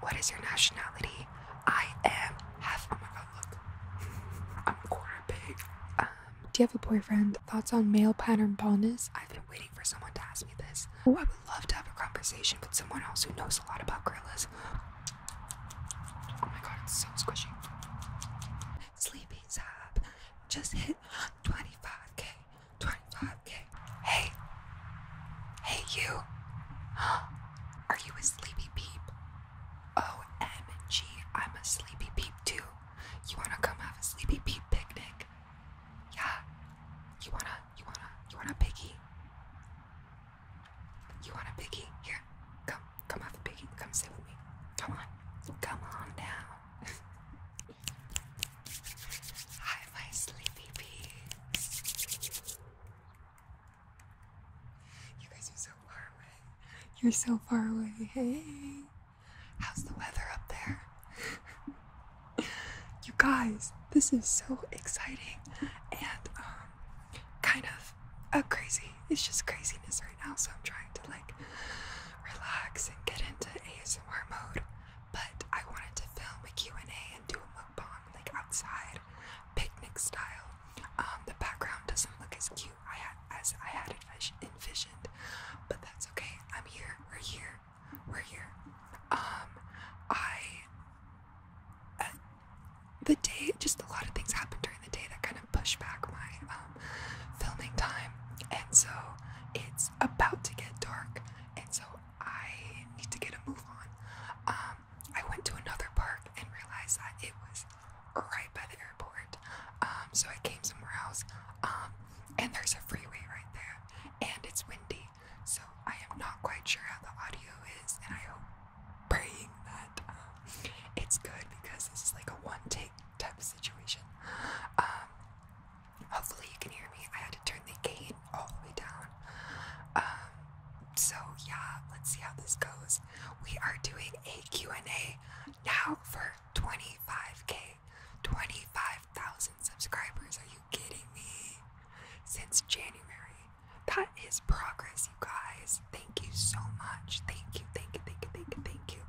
What is your nationality? I am half. Oh my god, look. I'm quarter pig. Um, do you have a boyfriend? Thoughts on male pattern baldness? I've been waiting for someone to ask me this. Oh, I would love to have a conversation with someone else who knows a lot about gorillas. Oh my god, it's so squishy. Sleepy Zab just hit 25k 25k. Hey, hey, you. Huh? Are you a sleepy peep? OMG, I'm a sleepy peep too. You wanna come have a sleepy peep picnic? Yeah. You wanna, you wanna, you wanna piggy? You want a piggy? Here, come, come have a piggy. Come sit with me. Come on, come on down. Hi, my sleepy peas. You guys are so far away. You're so far away. Hey, how's the weather up there? you guys, this is so exciting and um, kind of a crazy. It's just craziness right now, so I'm trying to like relax and get into ASMR mode, but I wanted to film a Q&A and do a mukbang like outside, picnic style. Um, the background doesn't look as cute I had, as I had envisioned, but that's okay. I'm here. We're here. We're here. Um, I uh, the day just a lot of things happened during the day that kind of pushed back my. Um, filming time, and so it's about to get dark, and so I need to get a move on. Um, I went to another park and realized that it was right by the airport, um, so I came somewhere else. Um, and there's a freeway right there, and it's windy, so I am not quite sure how the audio is, and I hope praying that it's good because this is like a one take type of situation. Hopefully, you can hear me. I had to turn the gain all the way down. Um, so yeah, let's see how this goes. We are doing a Q&A now for 25k, 25,000 subscribers. Are you kidding me? Since January, that is progress, you guys. Thank you so much. Thank you, thank you, thank you, thank you, thank you.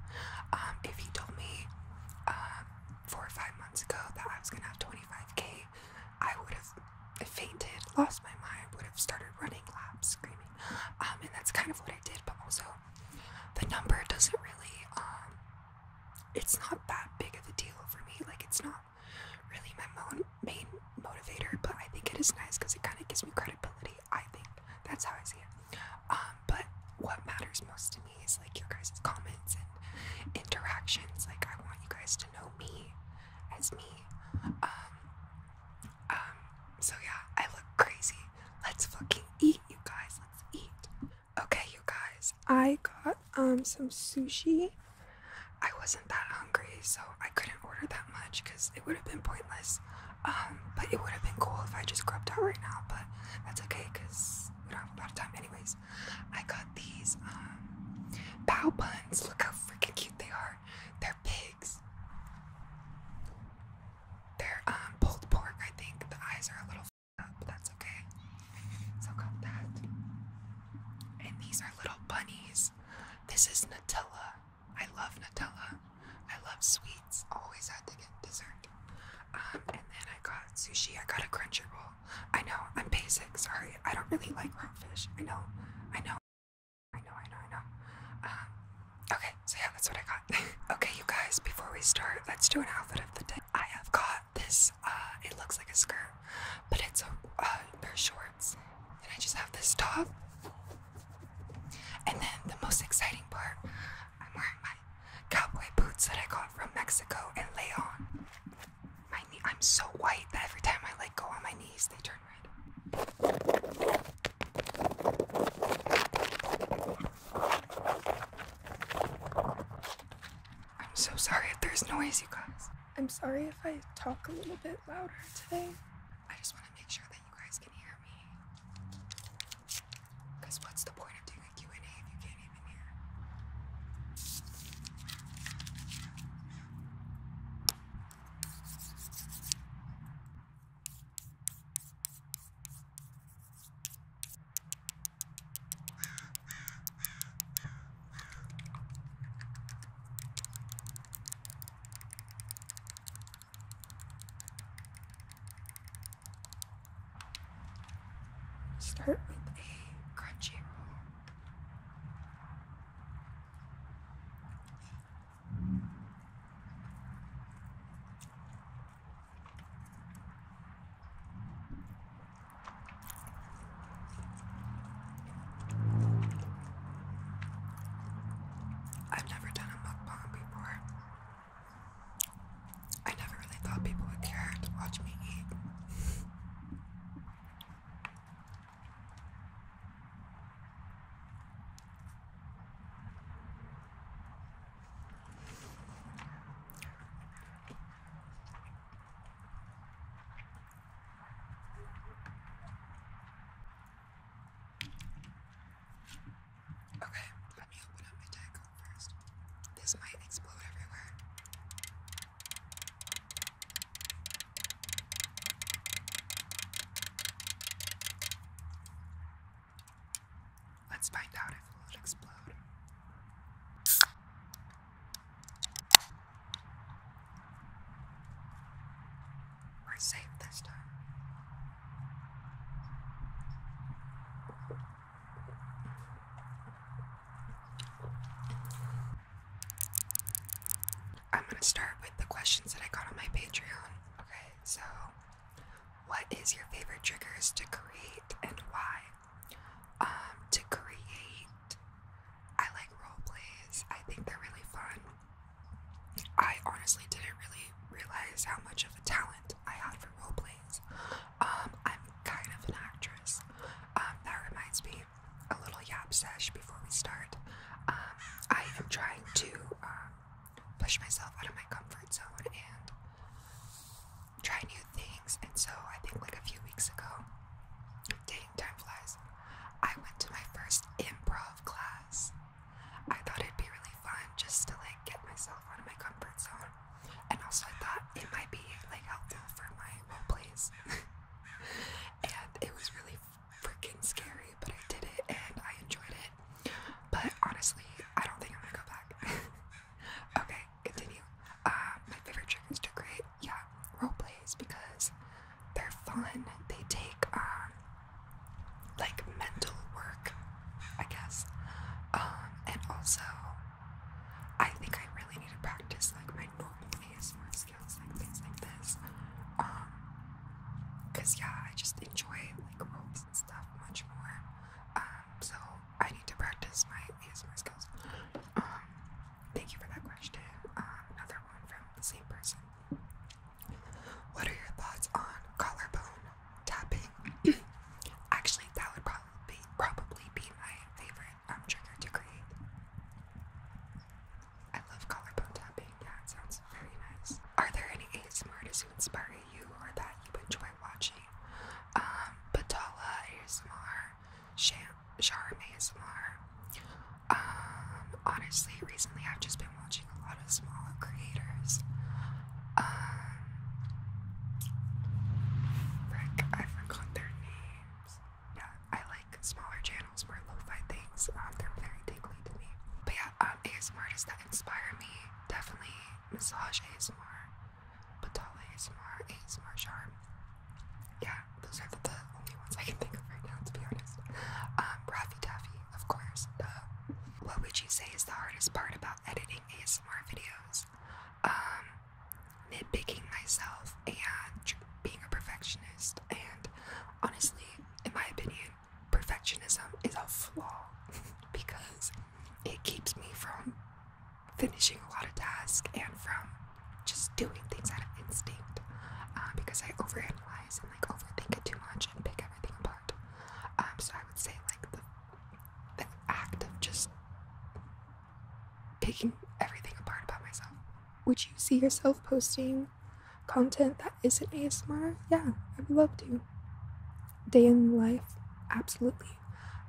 Um, if you told me, um, four or five months ago that I was gonna have 25k, I would have fainted, lost my mind, would have started running laps, screaming. Um, and that's kind of what I did, but also the number doesn't really, um, it's not that big of a deal for me. Like, it's not really my main motivator, but I think it is nice because it kind of gives me credibility. I think that's how I see it. Um, but what matters most to me like your guys' comments and interactions. Like I want you guys to know me as me. Um um so yeah, I look crazy. Let's fucking eat you guys. Let's eat. Okay you guys, I got um some sushi. I wasn't that hungry, so I couldn't order that much because it would have been pointless. Um but it would have been cool if I just grabbed out right now, but that's okay because we don't have a lot of time, anyways. I got these um, bow buns. Look how freaking cute they are. They're pigs. They're um, pulled pork, I think. The eyes are a little up, but that's okay. So got that. And these are little bunnies. This is Nutella. I love Nutella. I love sweets. Always had to get dessert. Um, and then I got sushi. I got a crunchy roll. I know, I'm basic, sorry. I don't really like raw fish. I know, I know, I know, I know, I know. Um, okay, so yeah, that's what I got. okay, you guys, before we start, let's do an outfit of the day. I have got this, uh, it looks like a skirt, but it's a pair of shorts. And I just have this top. And then the most exciting part, I'm wearing my Cowboy boots that I got from Mexico and Leon. My I'm so white that every time I like go on my knees they turn red. I'm so sorry if there's noise, you guys. I'm sorry if I talk a little bit louder today. I just want to make sure that you guys can hear me. Because what's the point of doing a Q&A if you can't even hear? Start with a crunchy roll. I've never done a mukbang before. I never really thought people would care to watch me eat. Okay, let me open up my tag first. This might explode everywhere. Let's find out if it will explode. We're safe this time. I'm gonna start with the questions that I got on my Patreon. Okay, so what is your favorite triggers to create and why? Um, to create, I like role plays. I think they're really fun. I honestly didn't really realize how much of a talent I had for role plays um, I'm kind of an actress. Um, that reminds me, a little yap sesh before we start. Um, I am trying to um, push myself out of my comfort zone and try new things. And so I think like a few weeks ago, dating time flies. I went to my first improv class. I thought it'd be really fun just to like get myself out of my comfort zone and also I thought it might be like helpful for my role plays. and it was really freaking scary, but I did it and I enjoyed it. But honestly, I don't think I'm gonna go back. okay, continue. Uh, my favorite trick is to create, yeah, role plays because they're fun. They take um like mental work I guess. Um, and also, I think I really need to practice like my normal ASMR skills, like things like this. Um, cause yeah, I just enjoy like ropes and stuff much more. Um, so I need to practice my ASMR skills. Um, thank you for that question. Um, another one from the same person. What are your thoughts on collarbone? tapping. Actually, that would probably be, probably be my favorite um, trigger to create. I love collarbone tapping. Yeah, it sounds very nice. Are there any ASMRs who inspire you or that you enjoy watching? Um, Batala ASMR, Sham, Charm ASMR. Um, honestly, recently I've just been watching a lot of smaller creators. Um, frick, I forgot their names. Yeah, I like smaller channels more lo-fi things. Um, they're very tingly to me. But yeah, um, ASMR is that inspire me definitely massage ASMR, Batala ASMR, ASMR charm. Yeah, those are the, only ones I can think of right now, to be honest. Um, Raffy Taffy, of course. what would you say is the hardest part about editing ASMR videos? um, nitpicking myself and being a perfectionist. And honestly, in my opinion, perfectionism is a flaw because it keeps me from finishing a lot of tasks and from just doing things out of instinct um, because I overanalyze and like overthink it too much and pick everything apart. Um, so I would say like the the act of just picking everything apart about myself. Would you see yourself posting content that isn't ASMR? Yeah, I would love to. Day in life, absolutely.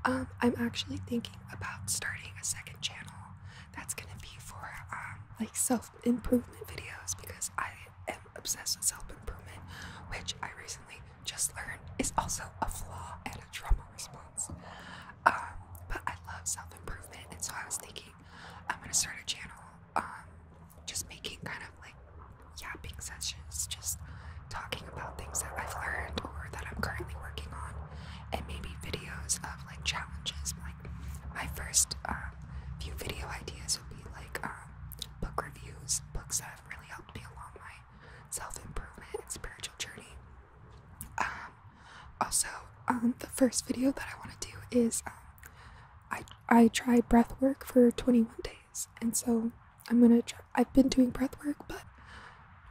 Um, I'm actually thinking about starting a second channel that's gonna be for um, like self improvement videos because I am obsessed with self improvement, which I recently just learn is also a flaw and a trauma response. Um, but I love self improvement, and so I was thinking I'm gonna start a channel, um, just making kind of like yapping sessions, just talking about things that I've learned or that I'm currently working on, and maybe videos of like challenges. Like my first um, few video ideas would be like book reviews, books that have really helped me along my self improvement and spiritual journey. Um, also, um, the first video that I want to do is um, I I tried breath work for 21 days, and so I'm gonna try. I've been doing breath work, but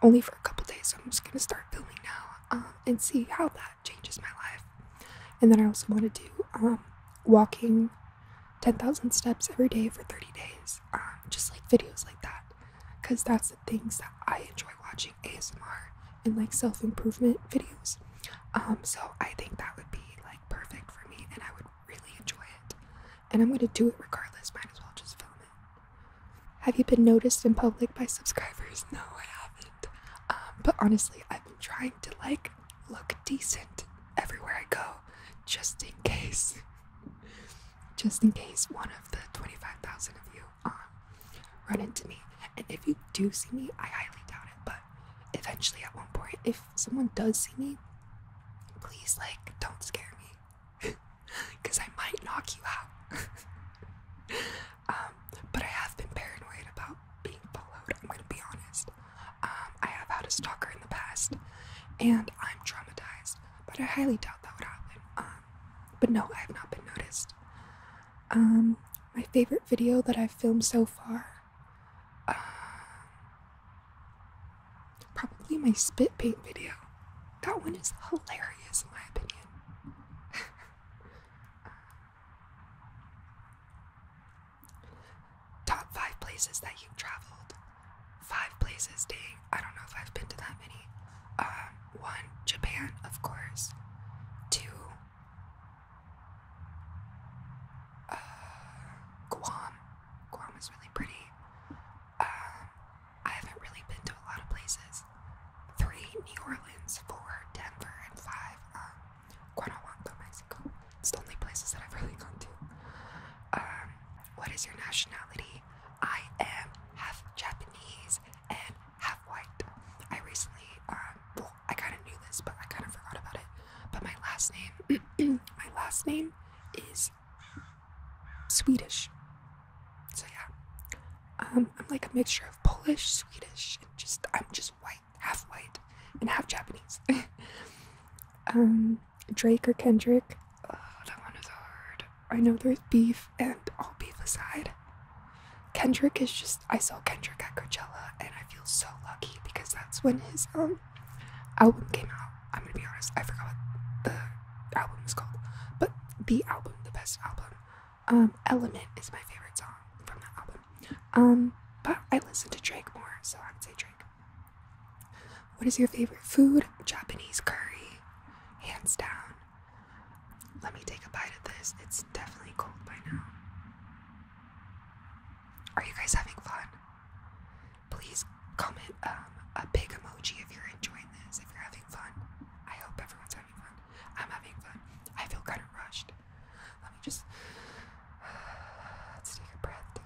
only for a couple days. So I'm just gonna start filming now and see how that changes my life. And then I also want to do walking 10,000 steps every day for 30 days. Um, just like videos like that. Because that's the things that I enjoy watching ASMR and like self improvement videos. Um, so I think that would be like perfect for me and I would really enjoy it. And I'm gonna do it regardless, might as well just film it. Have you been noticed in public by subscribers? No, I haven't. Um, but honestly, I've been trying to like look decent everywhere I go, just in case. just in case one of the 25,000 of you um, run into me. And if you do see me, I highly doubt it, but eventually at one point, if someone does see me, please, like, don't scare me because I might knock you out. um, but I have been paranoid about being followed, I'm gonna be honest. Um, I have had a stalker in the past, and I'm traumatized but I highly doubt that would happen. Um, but no, I have not been noticed. Um, my favorite video that I've filmed so far, uh, probably my spit paint video. That one is hilarious, in my opinion. Top five places that you traveled five places. Dang, I don't know if I've been to that many. Uh, one, Japan, of course. Two, uh, Guam. Guam is really pretty. Um, I haven't really been to a lot of places. Three, New Orleans. Four, Denver, and five, um, Guanajuato, Mexico. It's the only places that I've really gone to. Um, what is your nationality? I am half Japanese and half white. I recently, um, I kind of knew this, but I kind of forgot about it. But my last name, my last name is Swedish. So yeah, um, I'm like a mixture of Polish, Swedish, and just I'm just white, half white, and half Japanese. um, Drake or Kendrick. Oh, that one is hard. I know there's beef, and all beef aside, Kendrick is just. I saw Kendrick at Coachella, and I feel so lucky because that's when his um album came out. I'm gonna be honest, I forgot what the album is called, but the album, the best album, um, Element is my favorite song from that album. Um, but I listen to Drake more, so I would say Drake. What is your favorite food? Japanese curry, hands down. Let me take a bite of this. It's definitely cold by now. Are you guys having fun? Please comment um, a big emoji if you're enjoying this, if you're having fun. I hope everyone's having fun. I'm having fun. I feel kind of rushed. Let me just. let's take a breath.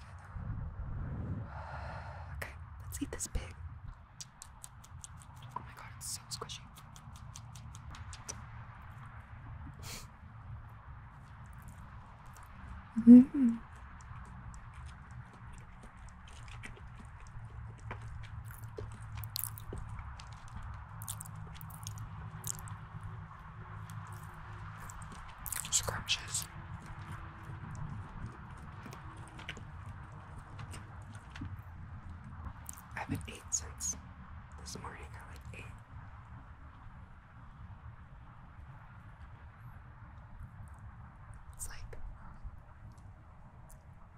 Okay, let's eat this pig. Oh my god, it's so squishy. Mm scratches. I have not ate since this morning I like eight. It's like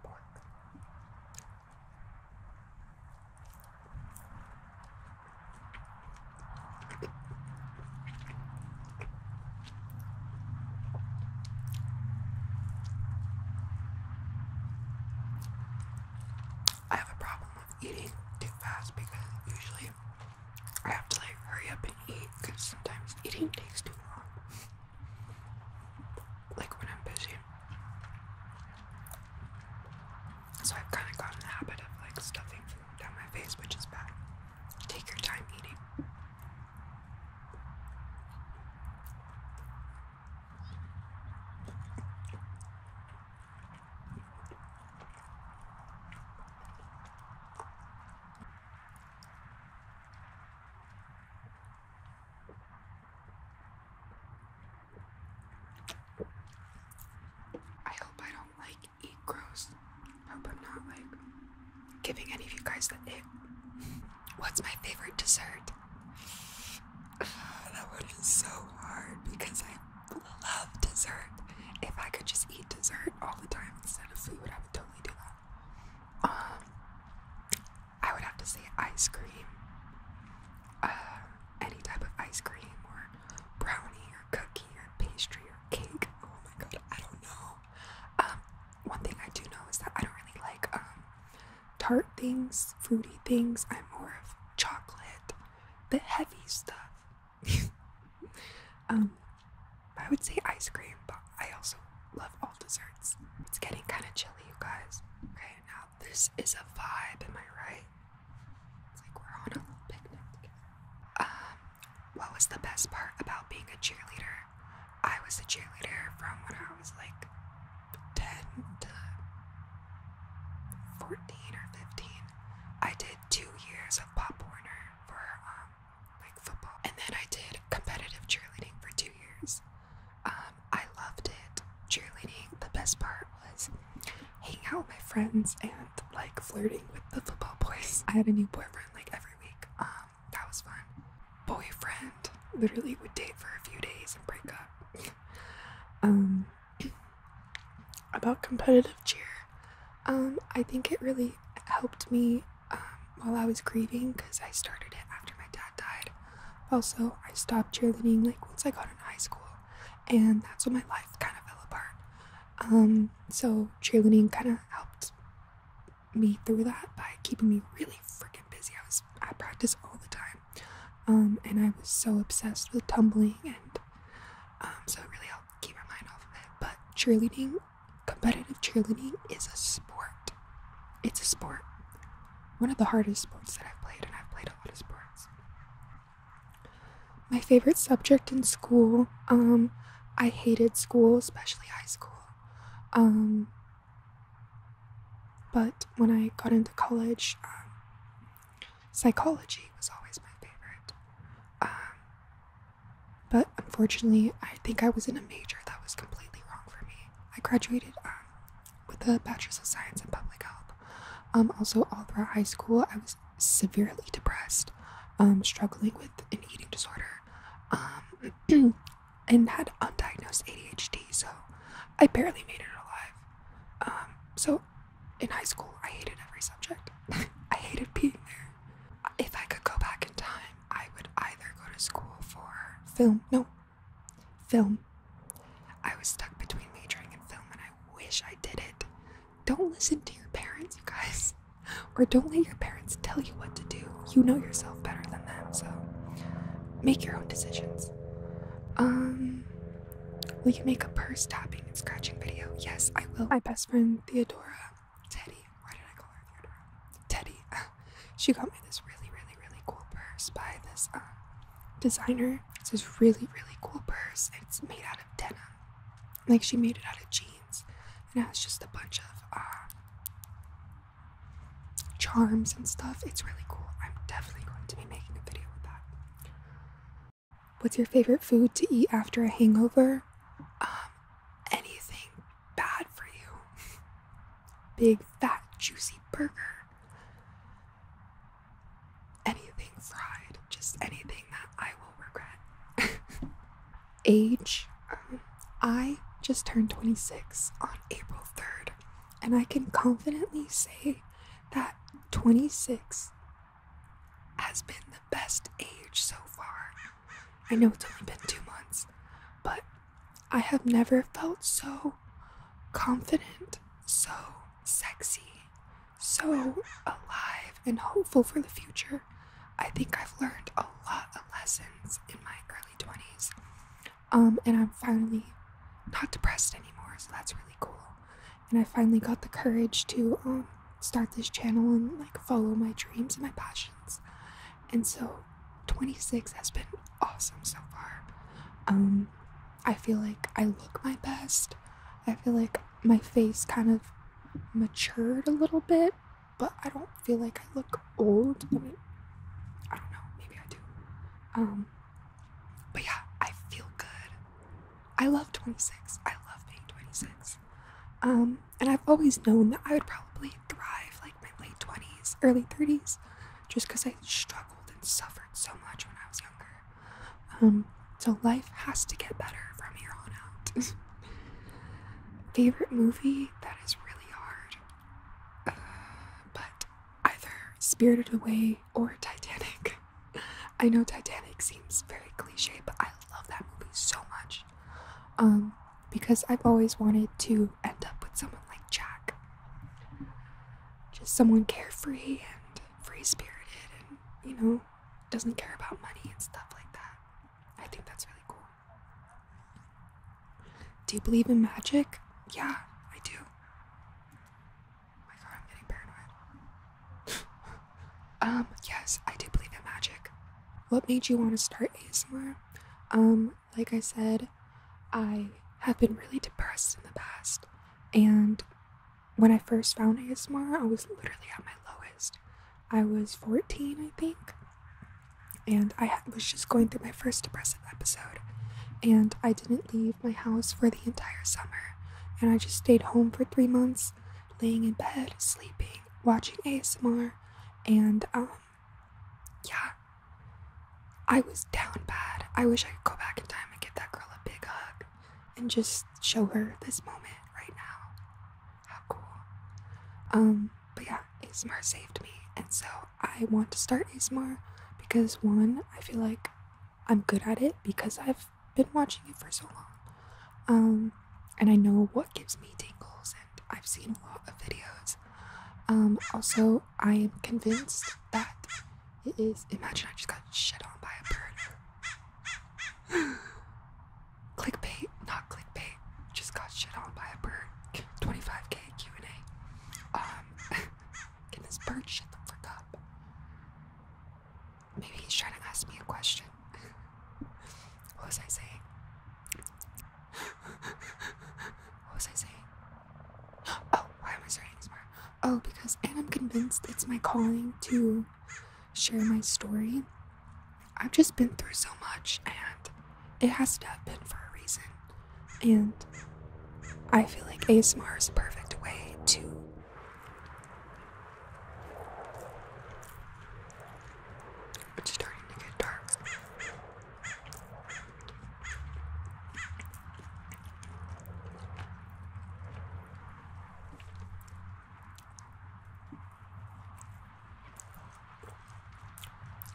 pork. I have a problem with eating too fast because usually I have to like hurry up and eat because sometimes eating takes too long. Like when I'm busy. So I've kind of gotten the habit of like stuffing food down my face, which is bad. Take your time eating. I hope I don't like eat gross. I uh, hope I'm not like giving any of you guys the it. What's my favorite dessert? that one is so hard because I love dessert. If I could just eat dessert all the time instead of food, I would totally do that. Um, I would have to say ice cream. Uh, any type of ice cream or brownie or cookie or pastry or cake. Oh my god, I don't know. Um, one thing I do know is that I don't really like um, tart things, fruity things. I'm more of chocolate, the heavy stuff. um, I would say ice cream, but I also love all desserts. It's getting kind of chilly, you guys. Okay, now this is a vibe, am I right? It's like we're on a little picnic together. Um, what was the best part about being a cheerleader? I was a cheerleader from when I was like 10 to 14 or 15. I did two years of Pop Warner for um, like football, and then I did competitive cheerleading for two years. Um, I loved it. Cheerleading, the best part was hanging out with my friends and like flirting with the football boys. I had a new boyfriend like every week. Um, that was fun. Boyfriend literally would date for a few days and break up. Um, about competitive cheer, um, I think it really helped me while I was grieving because I started it after my dad died. Also, I stopped cheerleading like once I got in high school, and that's when my life kind of fell apart. so cheerleading kind of helped me through that by keeping me really freaking busy. I was I practiced all the time, um, and I was so obsessed with tumbling, and um, so it really helped keep my mind off of it. But cheerleading, competitive cheerleading, is a sport. It's a sport. One of the hardest sports that I've played, and I've played a lot of sports. My favorite subject in school um, I hated school, especially high school. Um, but when I got into college, um, psychology was always my favorite. Um, but unfortunately, I think I was in a major that was completely wrong for me. I graduated with a Bachelor's of Science in Public Health. Um, also, all throughout high school, I was severely depressed um, struggling with an eating disorder, um, and had undiagnosed ADHD. So I barely made it alive. Um, so in high school, I hated every subject. I hated being there. If I could go back in time, I would either go to school for film, no, film. I was stuck between majoring in film, and I wish I did it. Don't listen to your parents, you guys. Or don't let your parents tell you what to do. You know yourself better than them, so make your own decisions. Um, will you make a purse tapping and scratching video? Yes, I will. My best friend Theodora, Teddy. Why did I call her Theodora? Teddy. Ah, she got me this really, really, really cool purse by this um, designer. It's this really, really cool purse. It's made out of denim. Like she made it out of jeans, and it has just a bunch of uh, charms and stuff. It's really cool. I'm definitely going to be making a video with that. What's your favorite food to eat after a hangover? Um, anything bad for you. Big, fat, juicy burger. Anything fried, just anything that I will regret. age. Um, I just turned 26 on April 3rd, and I can confidently say that 26 has been the best age so far. I know it's only been two months, but I have never felt so confident, so sexy, so alive and hopeful for the future I think I've learned a lot of lessons in my early 20s. Um, and I'm finally not depressed anymore, so that's really cool. And I finally got the courage to um, start this channel and like follow my dreams and my passions. And so 26 has been awesome so far. Um, I feel like I look my best. I feel like my face kind of matured a little bit but I don't feel like I look old. I mean, I don't know, maybe I do. Um, but yeah, I feel good. I love 26. I love being 26. Um, and I've always known that I would probably thrive like my late 20s, early 30s, just because I struggled and suffered so much when I was younger. Um, so life has to get better from here on out. Favorite movie? That is really hard. Uh, but either Spirited Away or Titanic. I know Titanic seems very cliche, but I love that movie so much. Um, because I've always wanted to end up with someone like Jack. Just someone carefree and free spirited and, you know, doesn't care about money and stuff like that. I think that's really cool. Do you believe in magic? Yeah, I do. um, yes, I do believe in magic. What made you want to start ASMR? Um, like I said, I have been really depressed in the past, and when I first found ASMR, I was literally at my lowest. I was 14, I think. And I was just going through my first depressive episode. And I didn't leave my house for the entire summer. And I just stayed home for three months, laying in bed, sleeping, watching ASMR. And, um, yeah, I was down bad. I wish I could go back in time and give that girl a big hug and just show her this moment right now. How cool. Um, but yeah, ASMR saved me, and so I want to start ASMR because one, I feel like I'm good at it because I've been watching it for so long. Um, and I know what gives me tingles, and I've seen a lot of videos. Um, also, I am convinced that it is. Imagine I just got shit on by a bird clickbait, not clickbait, just got shit on by a bird. 25k Q&A. Um, can this bird shut the frick up? Maybe he's trying to ask me a question. what was I saying? what was I saying? Oh, why am I starting this Oh, because, and I'm convinced it's my calling to share my story. I've just been through so much, and it has to have been for a reason. And I feel like ASMR is a perfect way to it's starting to get dark.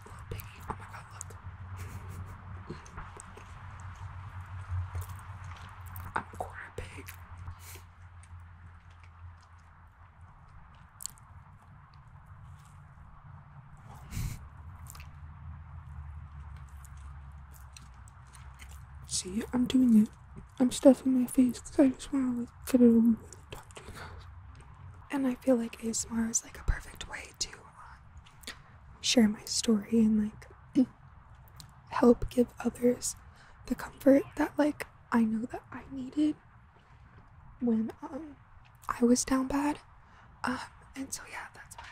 Oh my god, look. I'm a See, I'm doing it. I'm stuffing my face because I just want to and I feel like ASMR is like a perfect way to uh, share my story and like help give others the comfort that like I know that I needed when um, I was down bad. Um, and so yeah, that's why.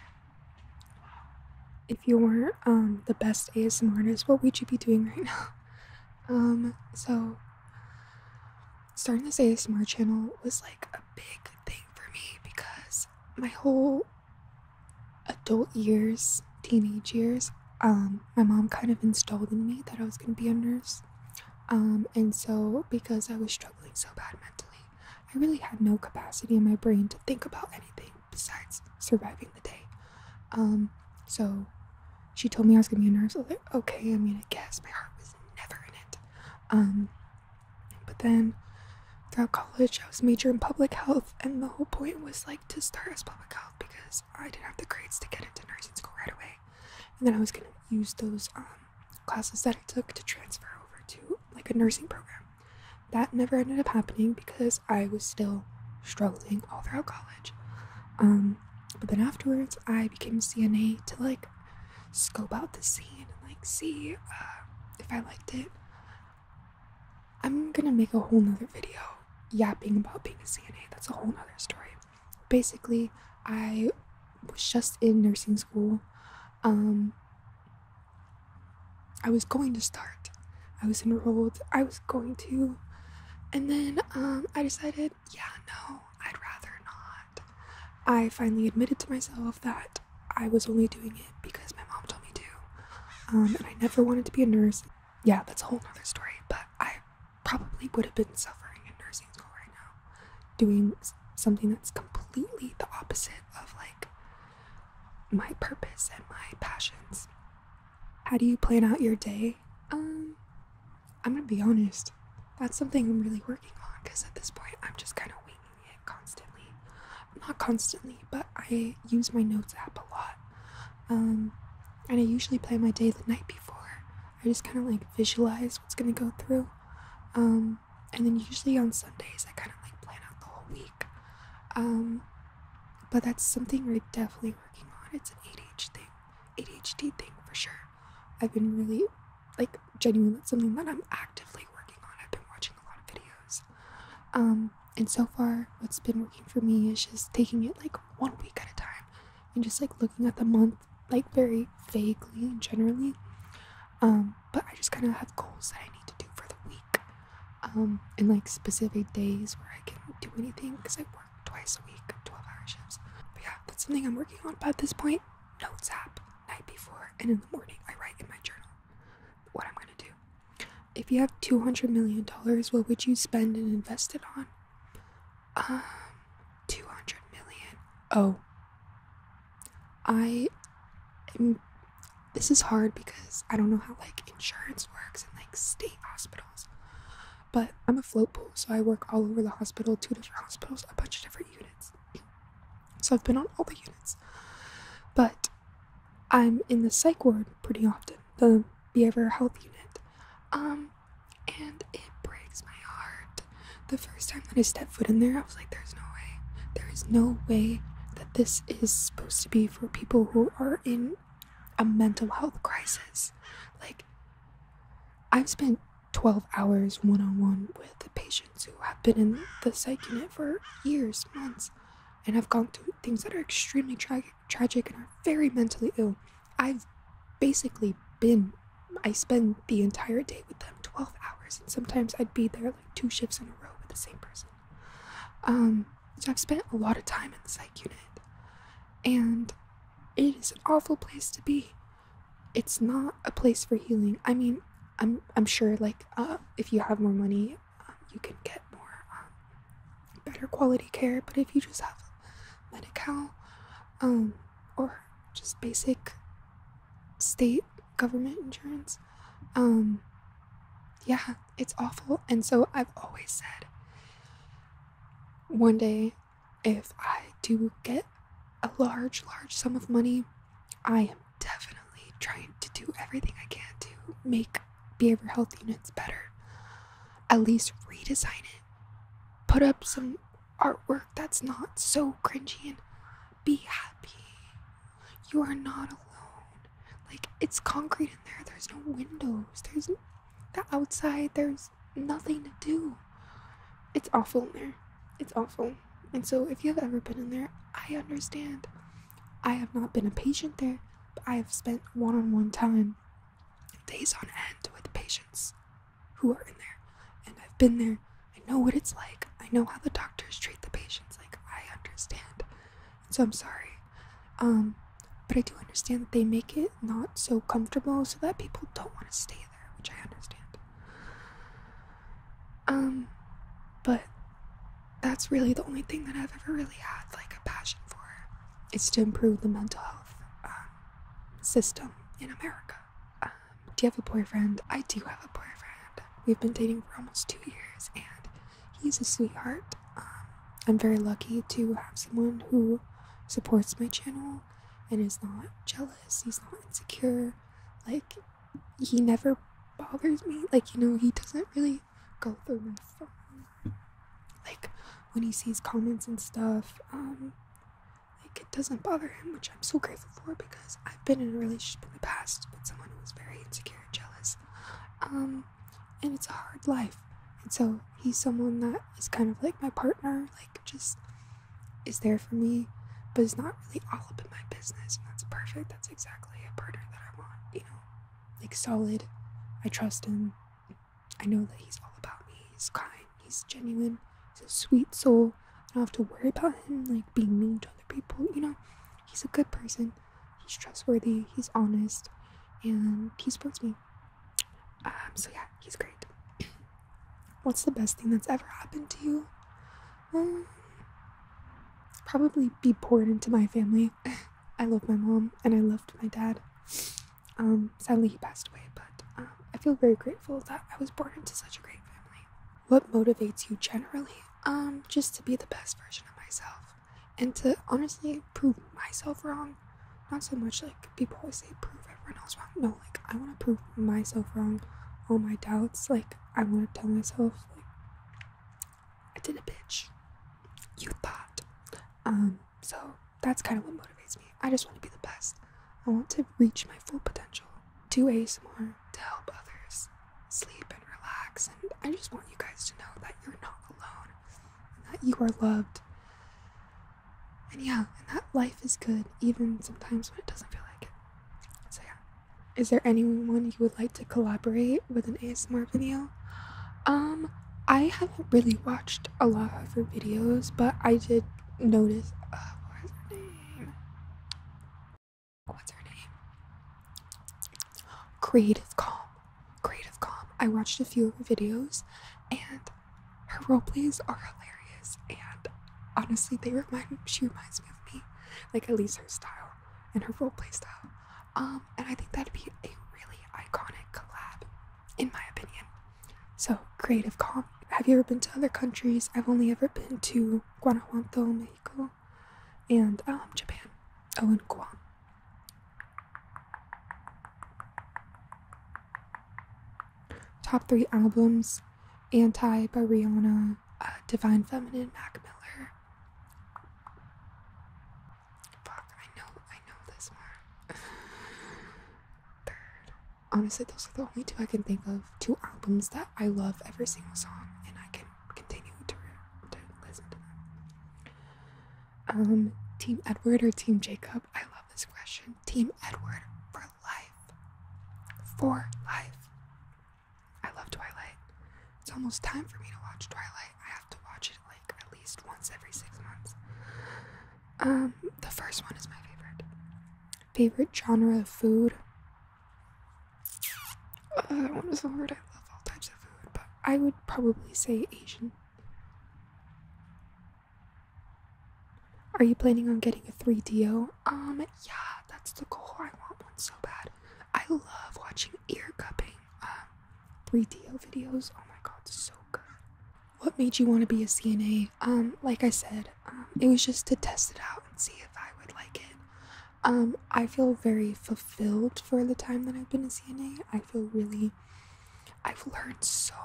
If you weren't um, the best ASMR artist, what would you be doing right now? Um, so starting to say a ASMR channel was like a big thing for me because my whole adult years, teenage years, um, my mom kind of installed in me that I was gonna be a nurse. Um, and so because I was struggling so bad mentally, I really had no capacity in my brain to think about anything besides surviving the day. Um, so she told me I was gonna be a nurse. okay, I'm gonna guess. My heart was never in it. Um, but then throughout college, I was major in public health, and the whole point was like to start as public health because I didn't have the grades to get into nursing school right away. And then I was gonna use those um, classes that I took to transfer over to like a nursing program. That never ended up happening because I was still struggling all throughout college. Um, but then afterwards, I became a CNA to like scope out the scene and like see uh, if I liked it. I'm gonna make a whole nother video yapping about being a CNA. That's a whole nother story. Basically, I was just in nursing school. Um, I was going to start. I was enrolled. I was going to. And then um, I decided yeah, no, I'd rather not. I finally admitted to myself that I was only doing it because my mom told me to. Um, and I never wanted to be a nurse. Yeah, that's a whole other story, but I probably would have been suffering in nursing school right now, doing something that's completely the opposite of like my purpose and my passions. How do you plan out your day um, I'm gonna be honest. That's something I'm really working on because at this point I'm just kind of winging it constantly. Not constantly, but I use my notes app a lot. Um, and I usually plan my day the night before. I just kind of like visualize what's gonna go through. Um, and then usually on Sundays I kind of like plan out the whole week. Um, but that's something we're definitely working on. It's an 8H thing. ADHD thing for sure. I've been really like genuine. that's something that I'm actively working on. I've been watching a lot of videos. Um, and so far what's been working for me is just taking it like one week at a time and just like looking at the month like very vaguely and generally. Um, but I just kind of have goals that I need to do for the week. Um, and like specific days where I can do anything because I work twice a week, 12 hour shifts. But yeah, that's something I'm working on. About this point, notes app, night before, and in the morning, I write in my journal what I'm gonna do. If you have $200 million, what would you spend and invest it on? Um, 200 million. Oh, I This is hard because I don't know how like insurance works and like state hospitals. But I'm a float pool, so I work all over the hospital, two different hospitals, a bunch of different units. So I've been on all the units. But I'm in the psych ward pretty often, the behavioral health unit. Um, and it breaks my heart. The first time that I stepped foot in there, I was like, there's no way. There is no way that this is supposed to be for people who are in a mental health crisis. Like, I've spent 12 hours one on one with patients who have been in the psych unit for years, months, and have gone through things that are extremely tragic and are very mentally ill. I've basically been, I spend the entire day with them 12 hours, and sometimes I'd be there like two shifts in a row with the same person. Um, so I've spent a lot of time in the psych unit, and it is an awful place to be. It's not a place for healing. I mean, I'm I'm sure like uh, if you have more money, um, you can get more um, better quality care. But if you just have medical, um, or just basic state government insurance, um, yeah, it's awful. And so I've always said, one day if I do get a large, large sum of money, I am definitely trying to do everything I can to make behavior health units better. At least redesign it. Put up some artwork that's not so cringy and be happy. You are not alone. Like, it's concrete in there, there's no windows, there's the outside, there's nothing to do. It's awful in there. It's awful. And so, if you have ever been in there, I understand. I have not been a patient there, but I have spent one on one time, days on end, with patients who are in there. And I've been there. I know what it's like. I know how the doctors treat the patients. Like, I understand. And so, I'm sorry. Um, but I do understand that they make it not so comfortable so that people don't want to stay there, which I understand. Um, but that's really the only thing that I've ever really had like a passion for is to improve the mental health um, system in America. Um, do you have a boyfriend? I do have a boyfriend. We've been dating for almost two years, and he's a sweetheart. Um, I'm very lucky to have someone who supports my channel and he's not jealous, he's not insecure. Like, he never bothers me. Like, you know, he doesn't really go through my phone. Like, when he sees comments and stuff, um, like, it doesn't bother him, which I'm so grateful for because I've been in a relationship in the past with someone who was very insecure and jealous. Um, and it's a hard life. And so he's someone that is kind of like my partner just is there for me, but it's not really all up in my business, and that's perfect. That's exactly a partner that I want, you know, like solid. I trust him. I know that he's all about me. He's kind. He's genuine. He's a sweet soul. I don't have to worry about him like being mean to other people. You know, he's a good person. He's trustworthy. He's honest, and he supports me. Um, so yeah, he's great. What's the best thing that's ever happened to you? Um, probably be born into my family. I love my mom and I loved my dad. Um, sadly, he passed away, but I feel very grateful that I was born into such a great family. What motivates you generally? Um, just to be the best version of myself and to honestly prove myself wrong not so much like people always say prove everyone else wrong. No, like I want to prove myself wrong, all my doubts. Like I want to tell myself like I did a bitch. You thought. Um. So that's kind of what motivates me. I just want to be the best. I want to reach my full potential. Do more to help others sleep and relax. And I just want you guys to know that you're not alone, that you are loved, and yeah, and that life is good even sometimes when it doesn't feel like it. So yeah. Is there anyone you would like to collaborate with an ASMR video? Um, I haven't really watched a lot of her videos, but I did notice uh, her name? What's her name? Creative Calm. Creative Calm. I watched a few videos and her role plays are hilarious and honestly they remind she reminds me of me like at least her style and her role play style um and i think that'd be a really iconic collab in my opinion so creative com have you ever been to other countries i've only ever been to guanajuato mexico and um japan oh and guam Top three albums Anti by Rihanna, uh, Divine Feminine, Mac Miller. Fuck, I know, I know this one. Third. Honestly, those are the only two I can think of. Two albums that I love every single song, and I can continue to, to listen to them. Um, Team Edward or Team Jacob? I love this question. Team Edward for life. For life. I love Twilight. It's almost time for me to watch Twilight. I have to watch it like at least once every six months. Um, the first one is my favorite. Favorite genre of food. Uh, what is the word? I love all types of food, but I would probably say Asian. Are you planning on getting a 3DO? Um, yeah, that's the goal. I want one so bad. I love watching ear cupping, 3DO um, videos. Oh my god, so good. What made you want to be a CNA? Um, like I said, um, it was just to test it out and see if I would like it. Um, I feel very fulfilled for the time that I've been a CNA. I feel really, I've learned so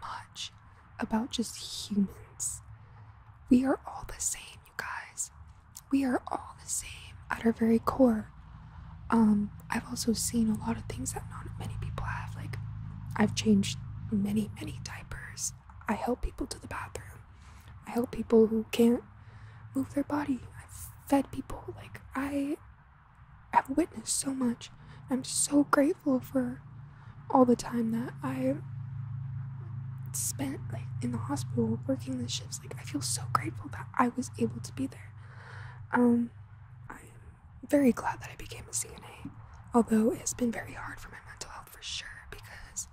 much about just humans. We are all the same, you guys. We are all the same at our very core. Um, I've also seen a lot of things that not many people have. Like, I've changed many, many diapers. I help people to the bathroom. I help people who can't move their body. I've fed people. Like, I I've witnessed so much. I'm so grateful for all the time that I spent like in the hospital working the shifts. Like I feel so grateful that I was able to be there. Um, I'm very glad that I became a CNA, although it has been very hard for my mental health for sure because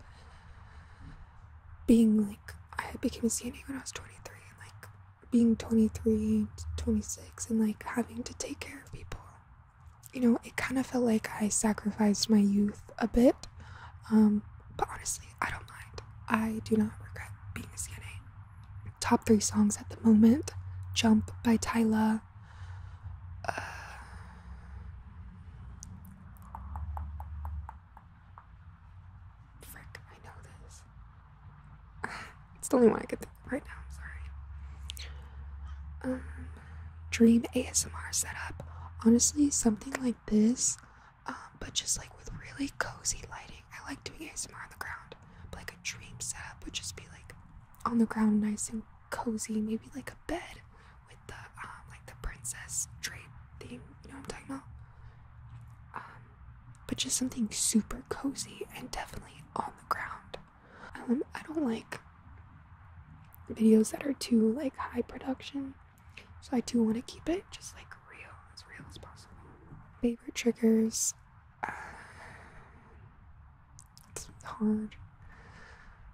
being like I became a CNA when I was 23 and like being 23, 26 and like having to take care of people you know, it kind of felt like I sacrificed my youth a bit. Um, but honestly, I don't mind. I do not regret being a CNA. Top three songs at the moment Jump by Tyler. Uh, I know this. It's the only one I could think of right now. I'm sorry. Um, dream ASMR setup. Honestly, something like this, um, but just like with really cozy lighting. I like doing ASMR on the ground, but like a dream setup would just be like on the ground, nice and cozy. Maybe like a bed with the um, like the princess drape theme. You know what I'm talking about? Um, but just something super cozy and definitely on the ground. Um, I don't like videos that are too like high production, so I do want to keep it just like real, as real as possible. Favorite triggers. Uh, hard.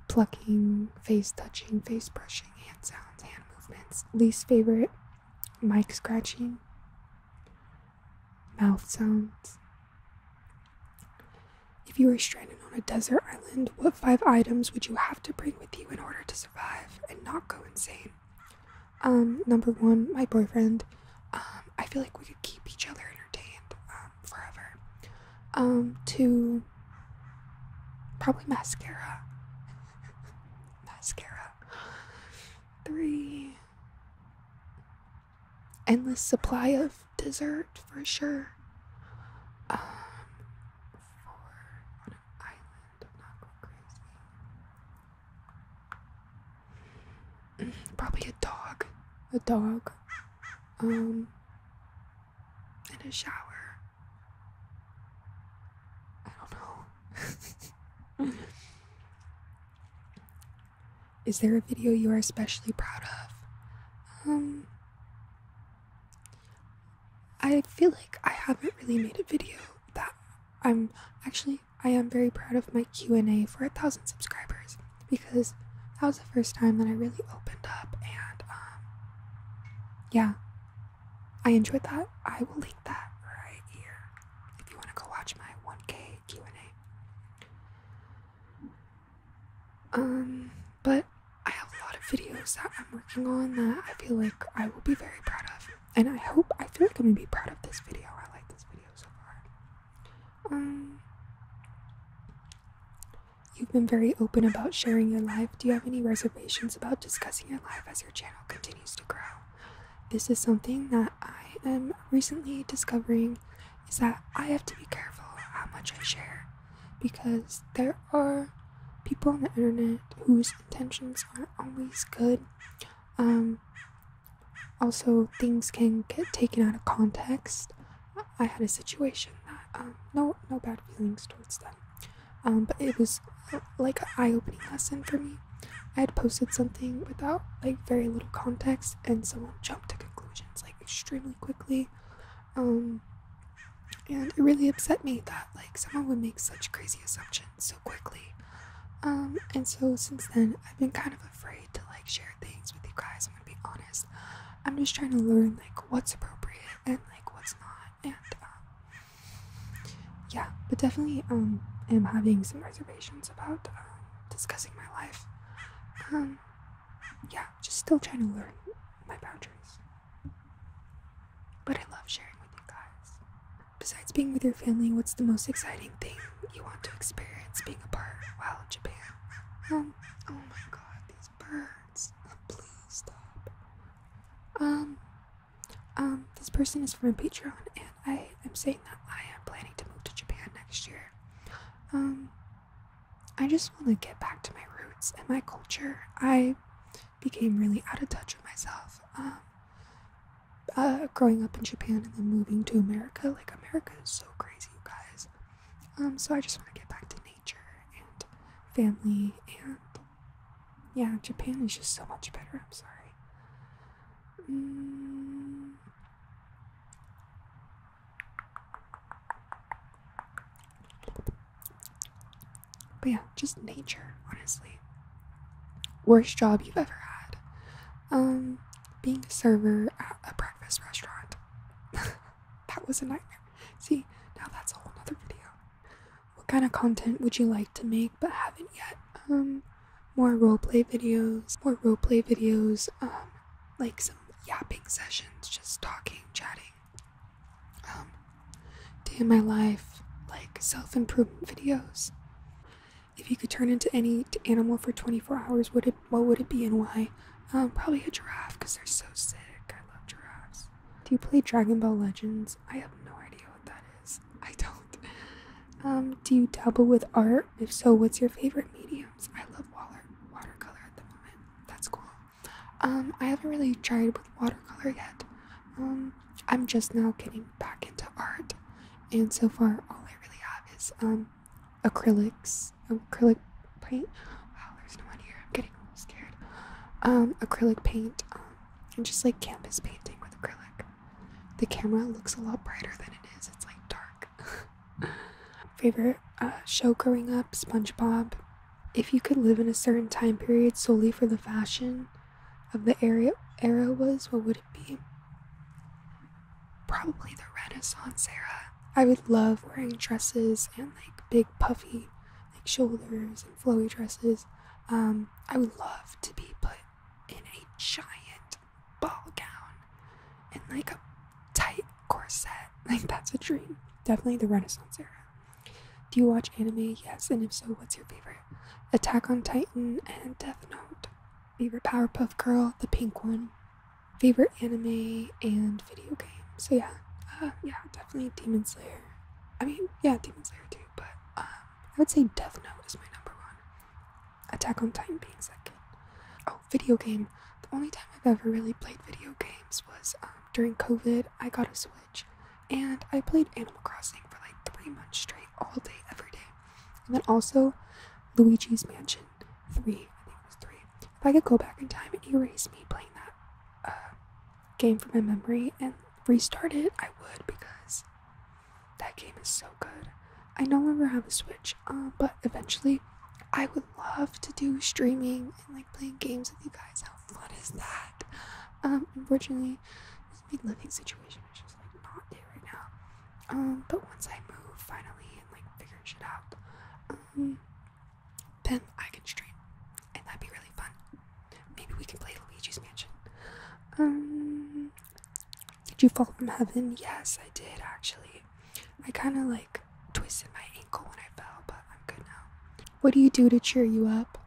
Plucking, face touching, face brushing, hand sounds, hand movements. Least favorite mic scratching mouth sounds. If you were stranded on a desert island, what five items would you have to bring with you in order to survive and not go insane? Um, number one, my boyfriend. Um, I feel like we could keep each other entertained um, forever. Um, two, probably mascara. mascara. Three, endless supply of dessert for sure. Um, mm, probably a dog, a dog, um, and a shower. I don't know. Is there a video you are especially proud of? Um, I feel like I haven't really made a video that I'm actually I am very proud of my Q&A for a thousand subscribers because that was the first time that I really opened up and um yeah I enjoyed that I will link that right here if you want to go watch my 1k Q&A um, but I have a lot of videos that I'm working on that I feel like I will be very proud of. And I hope, I feel like I'm gonna be proud of this video. I like this video so far. Um, you've been very open about sharing your life. Do you have any reservations about discussing your life as your channel continues to grow? This is something that I am recently discovering is that I have to be careful how much I share because there are people on the internet whose intentions aren't always good. Um, also, things can get taken out of context. I had a situation that um, no no bad feelings towards them, um, but it was uh, like an eye-opening lesson for me. I had posted something without like very little context, and someone jumped to conclusions questions like extremely quickly. Um, and it really upset me that like someone would make such crazy assumptions so quickly. Um, and so since then, I've been kind of afraid to like share things with you guys. I'm gonna be honest. I'm just trying to learn like what's appropriate and like what's not. And um, yeah, but definitely um, am having some reservations about um, discussing my life. Um, yeah, just still trying to learn my boundaries. But I love sharing with you guys. Besides being with your family, what's the most exciting thing you want to experience being a part while in Japan? Um, oh my god, these birds. Please stop. Um, um, this person is from Patreon, and I am saying that I am planning to move to Japan next year. Um, I just want to get back to my roots and my culture. I became really out of touch with myself. Um, uh, growing up in Japan and then moving to America. Like, America is so crazy, you guys. Um, so I just want to get back to nature and family and yeah, Japan is just so much better. I'm sorry. Mm. But yeah, just nature, honestly. Worst job you've ever had. Um, being a server at a breakfast restaurant. that was a nightmare. See, now that's a whole other video. What kind of content would you like to make but haven't yet? Um, more roleplay videos, more roleplay videos, um, like some yapping sessions, just talking, chatting. Um, day in my life, like self improvement videos. If you could turn into any animal for 24 hours, would it? What would it be and why? Um, probably a giraffe because they're so sick. I love giraffes. Do you play Dragon Ball Legends? I have no idea what that is. I don't. Um, do you dabble with art? If so, what's your favorite medium? I love water watercolor at the moment. That's cool. Um, I haven't really tried with watercolor yet. Um, I'm just now getting back into art, and so far all I really have is um, acrylics, acrylic paint. Wow, there's no one here. I'm getting scared. Um, acrylic paint, um, and just like canvas painting with acrylic. The camera looks a lot brighter than it is. It's like dark, Favorite uh, show growing up? SpongeBob. If you could live in a certain time period solely for the fashion of the area era was, what would it be? Probably the Renaissance era. I would love wearing dresses and like big puffy like shoulders and flowy dresses. Um, I would love to be put in a giant ball gown and like a tight corset. Like, that's a dream. Definitely the Renaissance era. Do you watch anime? Yes, and if so, what's your favorite? Attack on Titan and Death Note. Favorite Powerpuff Girl, the pink one. Favorite anime and video game. So, yeah, uh, yeah, definitely Demon Slayer. I mean, yeah, Demon Slayer too, but um, I would say Death Note is my number one. Attack on Titan being second. Oh, video game. The only time I've ever really played video games was um, during COVID. I got a Switch and I played Animal Crossing for like three months straight, all day, every day. And then also Luigi's Mansion 3. I think it was 3. If I could go back in time and erase me playing that uh, game from my memory and restart it, I would because that game is so so good. I no longer have a Switch, um, but eventually I would love to do streaming and like playing games with you guys. How fun is that? Um, unfortunately, this my living situation is just like not it right now. Um, but once I move finally and like figure shit out, um, then I can stream, and that'd be really fun. Maybe we can play Luigi's Mansion. Um, did you fall from heaven? Yes, I did actually. I kind of like twisted my ankle when I fell, but I'm good now. What do you do to cheer you up?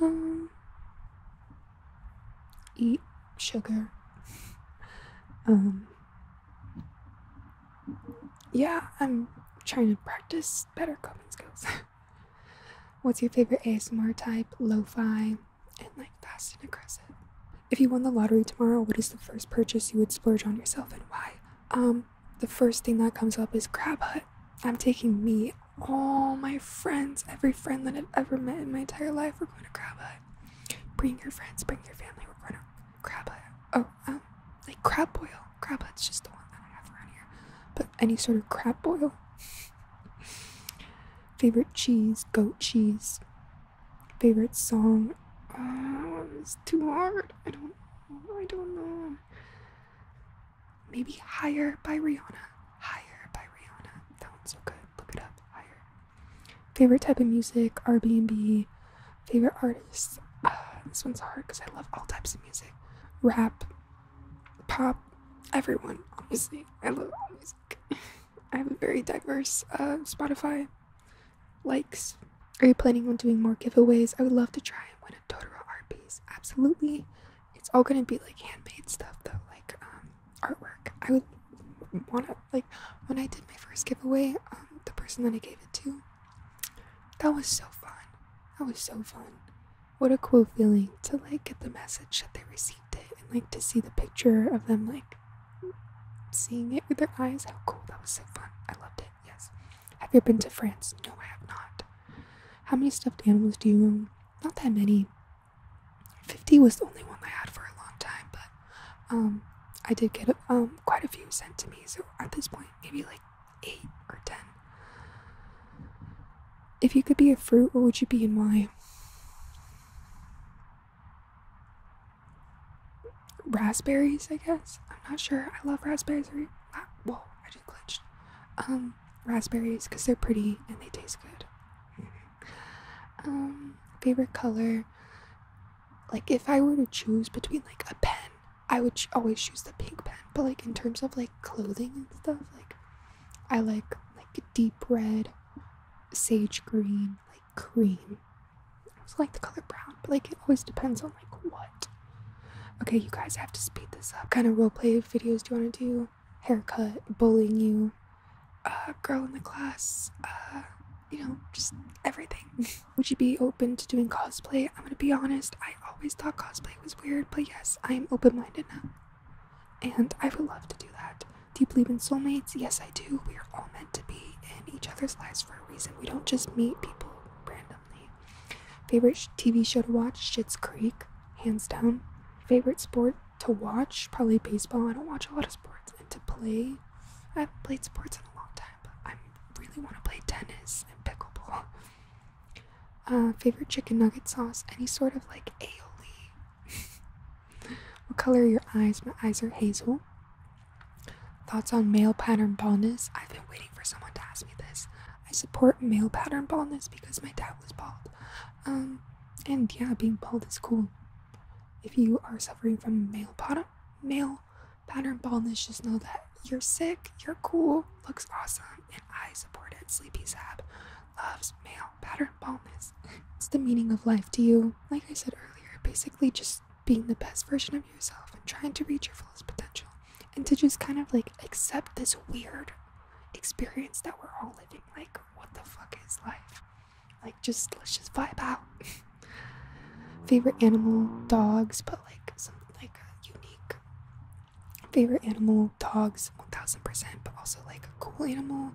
Um, eat sugar. um, yeah, I'm trying to practice better coping skills. What's your favorite ASMR type? Lo-fi and like fast and aggressive. If you won the lottery tomorrow, what is the first purchase you would splurge on yourself and why? Um, the first thing that comes up is Crab Hut. I'm taking me, all my friends, every friend that I've ever met in my entire life, we're going to Crab Hut. Bring your friends, bring your family, we're going to Crab Hut. Oh, um, like crab boil. Crab Hut's just the one that I have around here. But any sort of crab boil. Favorite cheese, goat cheese favorite song. Oh, it's too hard. I don't know. I don't know. Maybe Higher by Rihanna. Higher by Rihanna. That one's so good. Look it up. Higher. Favorite type of music, R&B. Favorite artists. Uh, this one's hard because I love all types of music. Rap, pop, everyone, obviously. I love all music. I have a very diverse uh, Spotify likes. Are you planning on doing more giveaways? I would love to try and win a Totoro art piece. Absolutely. It's all gonna be like handmade stuff though, like um, artwork. I would want to like when I did my first giveaway, um, the person that I gave it to. That was so fun. That was so fun. What a cool feeling to like get the message that they received it and like to see the picture of them like seeing it with their eyes. How cool! That was so fun. I loved it. Yes. Have you ever been to France? No, I have not. How many stuffed animals do you own? Not that many. 50 was the only one I had for a long time, but um, I did get um, quite a few sent to me. So at this point, maybe like 8 or 10. If you could be a fruit, what would you be and why? raspberries, I guess. I'm not sure. I love raspberries. Whoa, I just glitched. Um, raspberries because they're pretty and they taste good. um, favorite color. Like if I were to choose between like a pen, I would always choose the pink pen. But like in terms of like clothing and stuff, like I like like deep red, sage green, like cream I also like the color brown, but like it always depends on like what. Okay, you guys have to speed this up. kind of roleplay videos do you want to do? Haircut, bullying you, uh, girl in the class, uh, you know, just everything. Would you be open to doing cosplay? I'm gonna be honest, I always thought cosplay was weird, but yes, I am open minded now. And I would love to do that. Do you believe in soulmates? Yes, I do. We are all to be in each other's lives for a reason. We don't just meet people randomly. Favorite TV show to watch? Schitt's Creek, hands down. Favorite sport to watch? Probably baseball. I don't watch a lot of sports. And to play, I have played sports in a long time, but I really want to play tennis and pickleball. Uh, favorite chicken nugget sauce? Any sort of like aioli. What color are your eyes? My eyes are hazel. Thoughts on male pattern baldness? I've been waiting for someone to ask me this. I support male pattern baldness because my dad was bald. Um, and yeah, being bald is cool. If you are suffering from male pattern, male pattern baldness, just know that you're sick, you're cool, looks awesome, and I support it. Sleepy Sab loves male pattern baldness. What's the meaning of life to you? Like I said earlier, basically just being the best version of yourself and trying to reach your fullest potential and to just kind of like accept this weird experience that we're all living like what the fuck is life like just let's just vibe out favorite animal dogs but like some like unique favorite animal dogs 1000% but also like a cool animal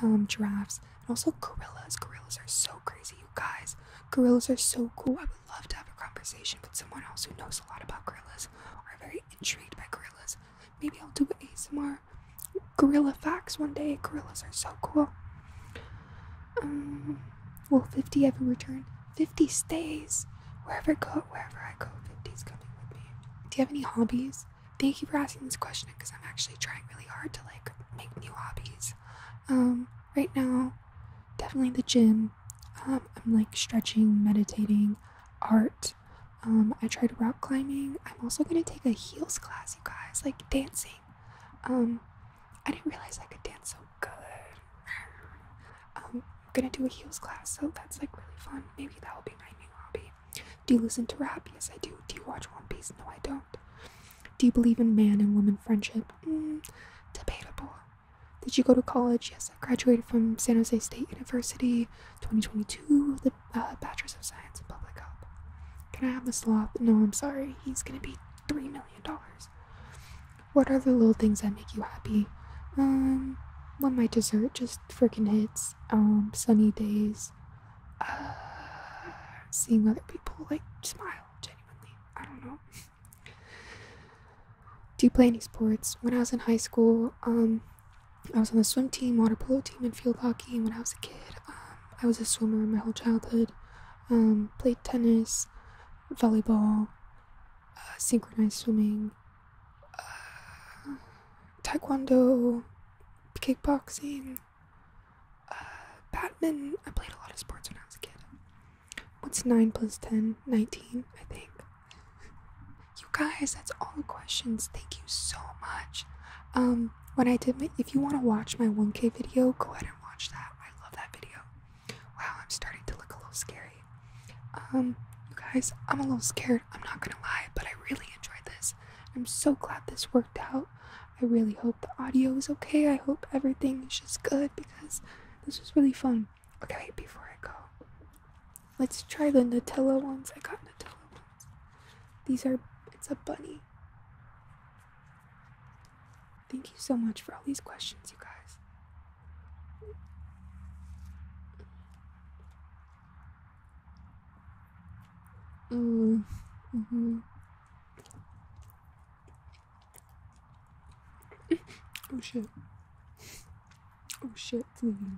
um, giraffes and also gorillas gorillas are so crazy guys. Gorillas are so cool. I would love to have a conversation with someone else who knows a lot about gorillas or are very intrigued by gorillas. Maybe I'll do ASMR gorilla facts one day. Gorillas are so cool. Um, will 50 ever return? 50 stays. Wherever I go, wherever I coming with me. Do you have any hobbies? Thank you for asking this question because I'm actually trying really hard to like make new hobbies um, right now, definitely the gym. Um, I'm like stretching, meditating, art. Um, I tried rock climbing. I'm also gonna take a heels class, you guys, like dancing. I didn't realize I could dance so good. I'm gonna do a heels class, so that's like really fun. Maybe that will be my new hobby. Do you listen to rap? Yes, I do. Do you watch One Piece? No, I don't. Do you believe in man and woman friendship? Mm, debatable. Did you go to college? Yes, I graduated from San Jose State University 2022 with a uh, Bachelor's of Science in Public Health. Can I have the sloth? No, I'm sorry. He's gonna be $3 million. What are the little things that make you happy? Um, when my dessert just freaking hits. Um, sunny days. Uh, seeing other people like smile genuinely, I don't know. Do you play any sports? When I was in high school, um, I was on the swim team, water polo team, and field hockey. And when I was a kid, um, I was a swimmer my whole childhood. Um, played tennis, volleyball, uh, synchronized swimming, uh, taekwondo, kickboxing, uh, Batman. I played a lot of sports when I was a kid. What's 9 plus 10? 19, I think. You guys, that's all the questions. Thank you so much. Um, when I did my, if you want to watch my 1K video, go ahead and watch that. I love that video. Wow, I'm starting to look a little scary. Um, you guys, I'm a little scared. I'm not gonna lie, but I really enjoyed this. I'm so glad this worked out. I really hope the audio is okay. I hope everything is just good because this was really fun. Okay, before I go, let's try the Nutella ones. I got Nutella ones. These are, it's a bunny. Thank you so much for all these questions, you guys. Mm, mm -hmm oh shit. Oh shit, it's hmm.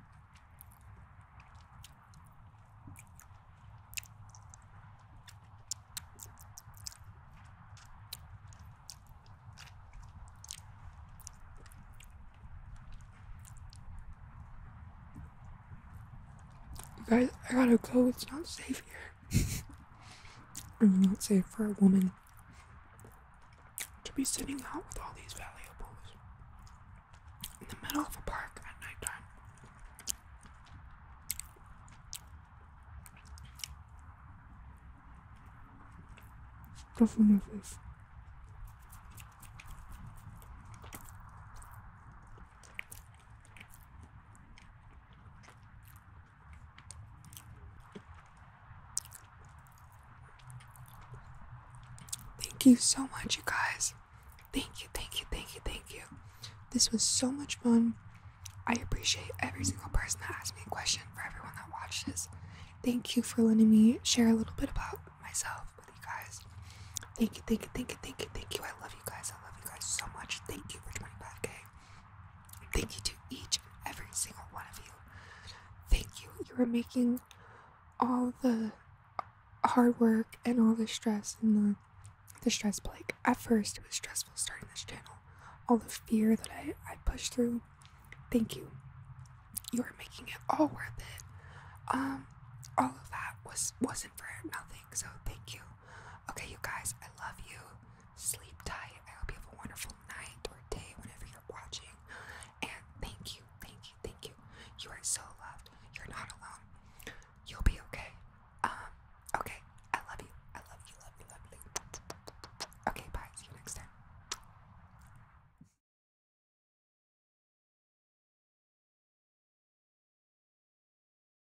Guys, I gotta go. It's not safe here. It's not safe for a woman to be sitting out with all these valuables in the middle of a park at nighttime. Go for my face. Thank you so much, you guys. Thank you, thank you, thank you, thank you. This was so much fun. I appreciate every single person that asked me a question, for everyone that watched this. Thank you for letting me share a little bit about myself with you guys. Thank you, thank you, thank you, thank you, thank you. I love you guys. I love you guys so much. Thank you for joining back. Thank you to each and every single one of you. Thank you. You are making all the hard work and all the stress and the the stress like at first it was stressful starting this channel all the fear that i i pushed through thank you you are making it all worth it um all of that was wasn't for nothing so thank you Okay, you guys, I love you. Sleep tight. I hope you have a wonderful night or day whenever you're watching. And thank you, thank you, thank you. You are so loved. You're not alone. You'll be okay. Um, okay. I love you. I love you, love you, love you. Okay, bye. See you next time.